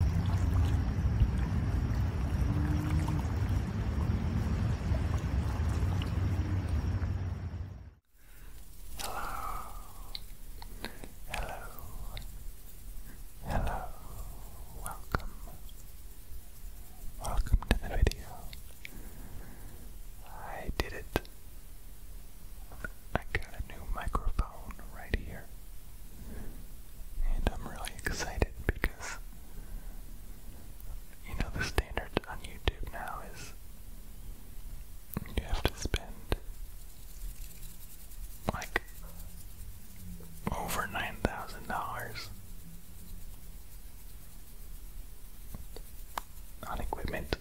Hello, hello, hello, welcome, welcome to the video. I did it. I got a new microphone right here. And I'm really excited because, you know, the standard on YouTube now is you have to spend like over $9,000 on equipment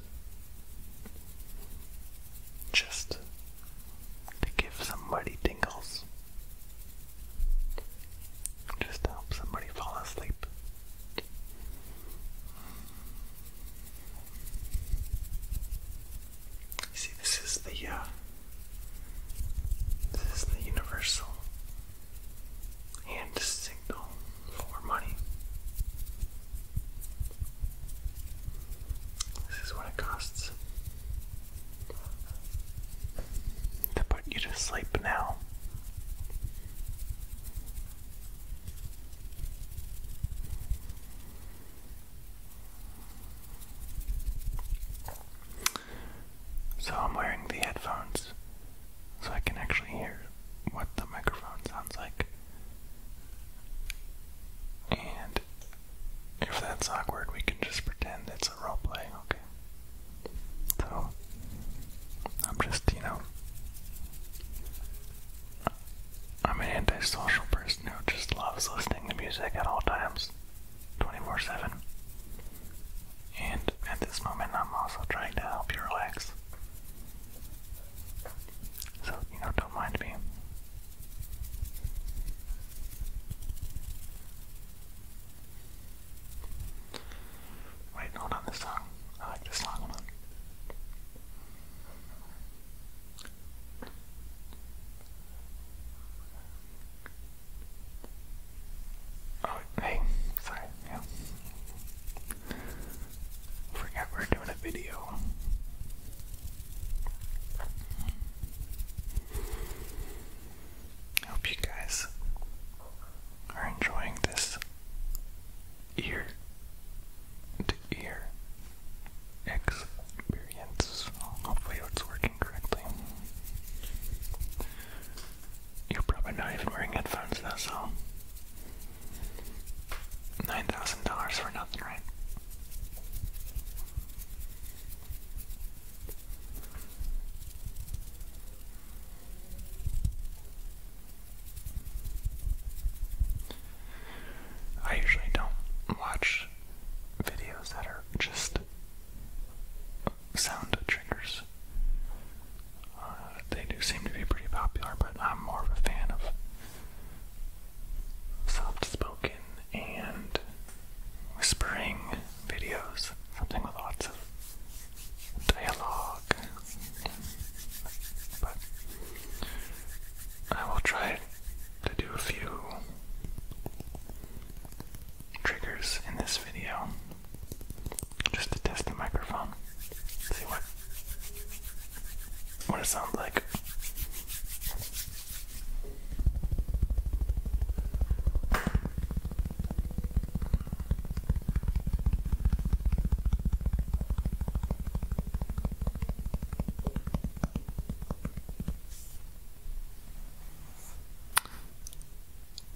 just to give somebody tingles. Just to help somebody fall asleep. See, this is the, uh, this is the universal hand signal for money. This is what it costs to put you to sleep now. So I'm wearing the headphones so I can actually hear what the microphone sounds like. And if that's awkward, we can just pretend it's a role play, okay? So, I'm just, you know, I'm an antisocial person who just loves listening to music at all times, 24 7. And at this moment, I'm also trying to help you relax. So, you know, don't mind me. Wait, not on this song. I like this song one. Oh, hey, sorry, yeah. Forgot we're doing a video. I hope you guys are enjoying this ear to ear experience. Hopefully, it's working correctly. You're probably not even wearing headphones though, so $9,000 for nothing, right? I usually don't watch videos that are just sound triggers. Uh, they do seem to be pretty popular, but I'm more of a fan of soft spoken and whispering videos, something with lots of dialogue. But I will try to do a few triggers in this video just to test the microphone. See what what it sounds like.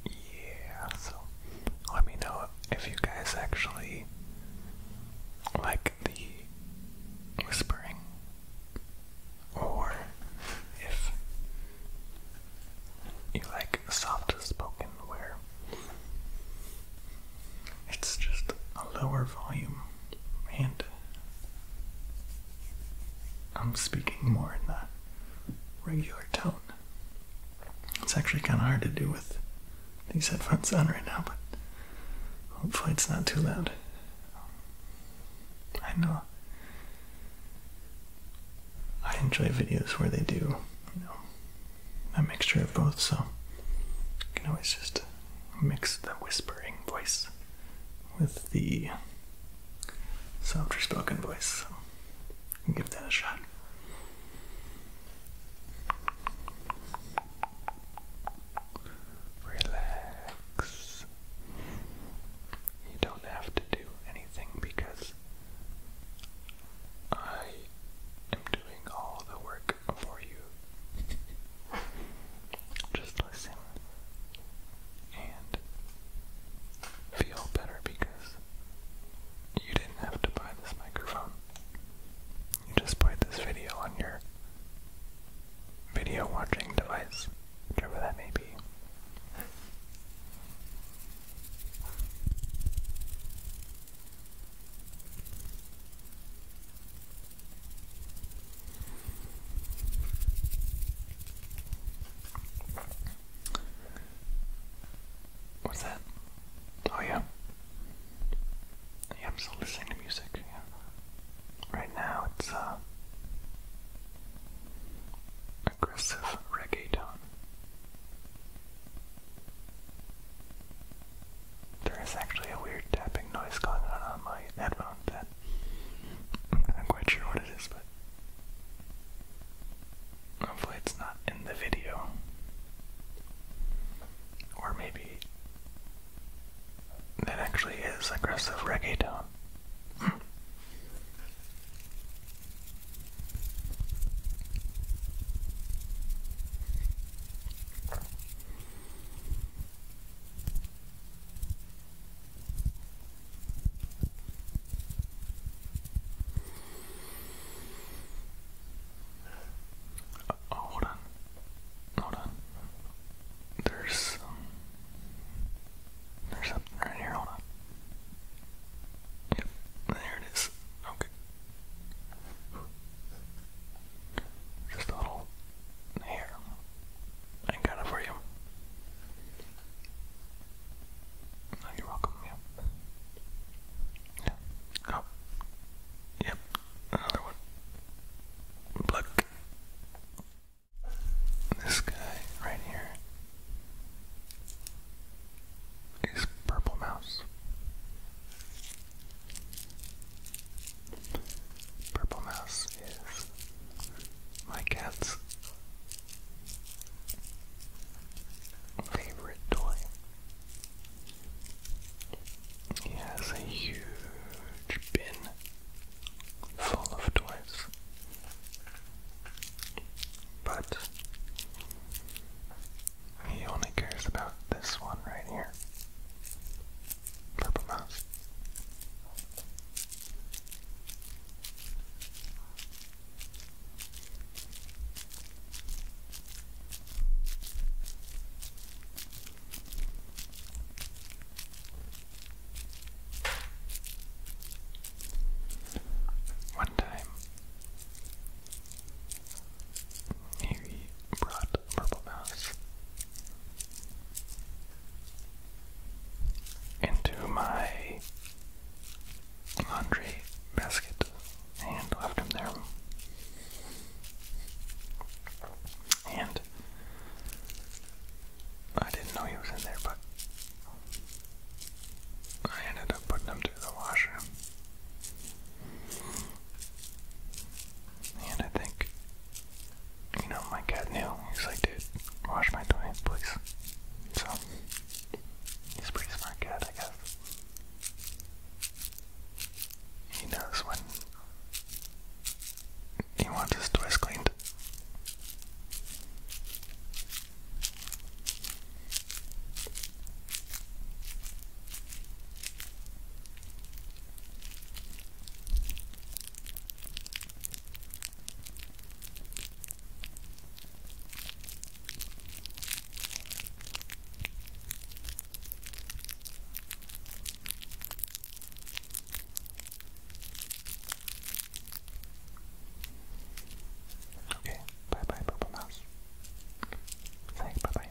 Yeah, so let me know if you guys actually like the whispering or if you like soft spoken, where it's just a lower volume and I'm speaking more in that regular tone. It's actually kind of hard to do with these headphones on right now, but hopefully it's not too loud. I know. I enjoy videos where they do, you know, a mixture of both, so you can always just mix the whispering voice with the softer spoken voice. give that a shot. Relax. You don't have to do anything because I am doing all the work for you. Just listen and feel better because you didn't have to buy this microphone. You just played this video on your video watching device, whichever that may be. What's that? Oh yeah. Yeah, I'm still listening to music. Yeah. Right now it's uh, aggressive reggaeton. There is actually a weird tapping noise going on on my headphone I'm quite sure what it is, but hopefully it's not in the video. Or maybe that actually is aggressive reggae tone. oh, hold Hold on. There's there's something right here. Hold on. Yep, there it is. Okay. Just a little hair. I got it for you. you're welcome. Yeah. Yeah. Oh. Yep. Another one. Black. This guy right here is Purple Mouse. Purple Mouse is my cat's favorite toy. He has a huge bin full of toys. But he only cares about this one right here. Purple one time, Harry brought a purple mouse into my laundry basket and left him there. And I didn't know he was in there, but I ended up putting him through the washer. And I think, you know, my cat knew. He's like, dude, wash my toilet, please. So, he's pretty smart cat, I guess. He knows when he wants his toys cleaned. Okay, bye bye, Purple Mouse. Say bye bye.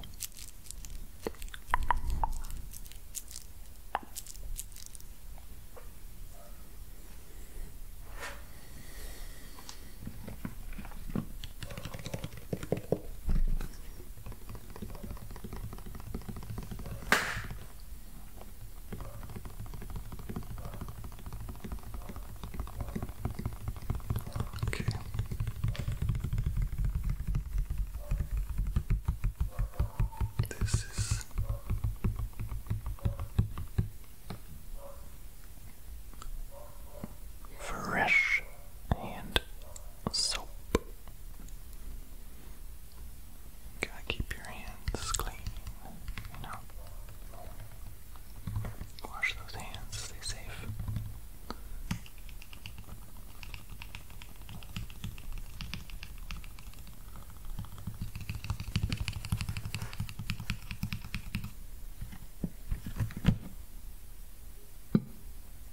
Okay. This is fresh and soap. gotta keep your hands clean, you know. Wash those hands, stay safe.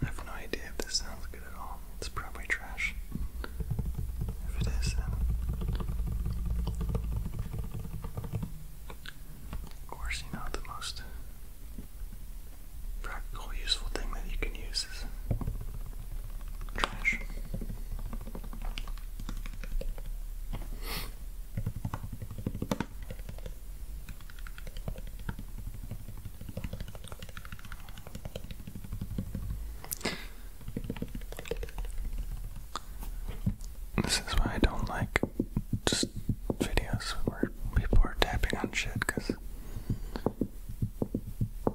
I have no idea if this sounds good at all. It's probably trash. If it is, then. Of course, you the most practical, useful thing that you can use is trash. This is why I don't like just videos where people are tapping on shit because,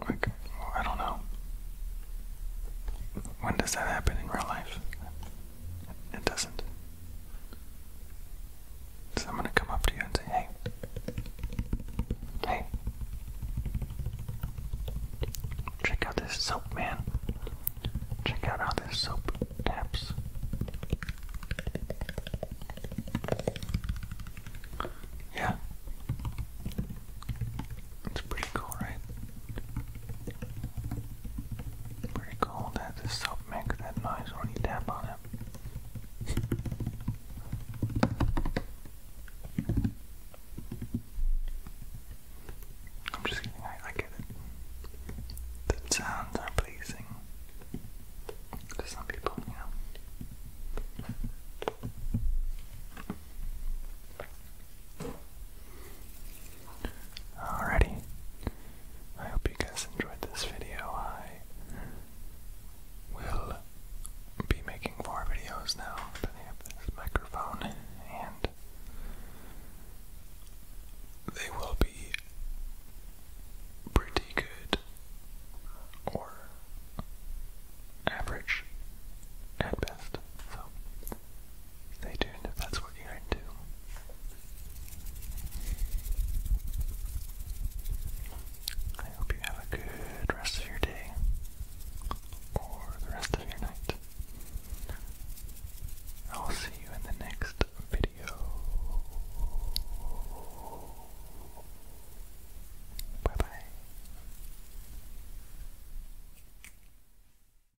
like, I don't know. When does that happen in real life? It doesn't. So I'm gonna come up to you and say, hey. Hey. Check out this soap, man. Check out how this soap taps. Yeah. It's pretty cool, right? Pretty cool that the soap makes that noise when you tap on it. I'm just kidding, I get it. The sounds are pleasing to some people, you know. Alrighty. I hope you guys enjoyed this video. I will be making more videos now that I have this microphone, and they will be pretty good or average at best. So stay tuned if that's what you're into. I hope you have a good rest of your day or the rest of your night. I'll see you in the next video. Bye bye.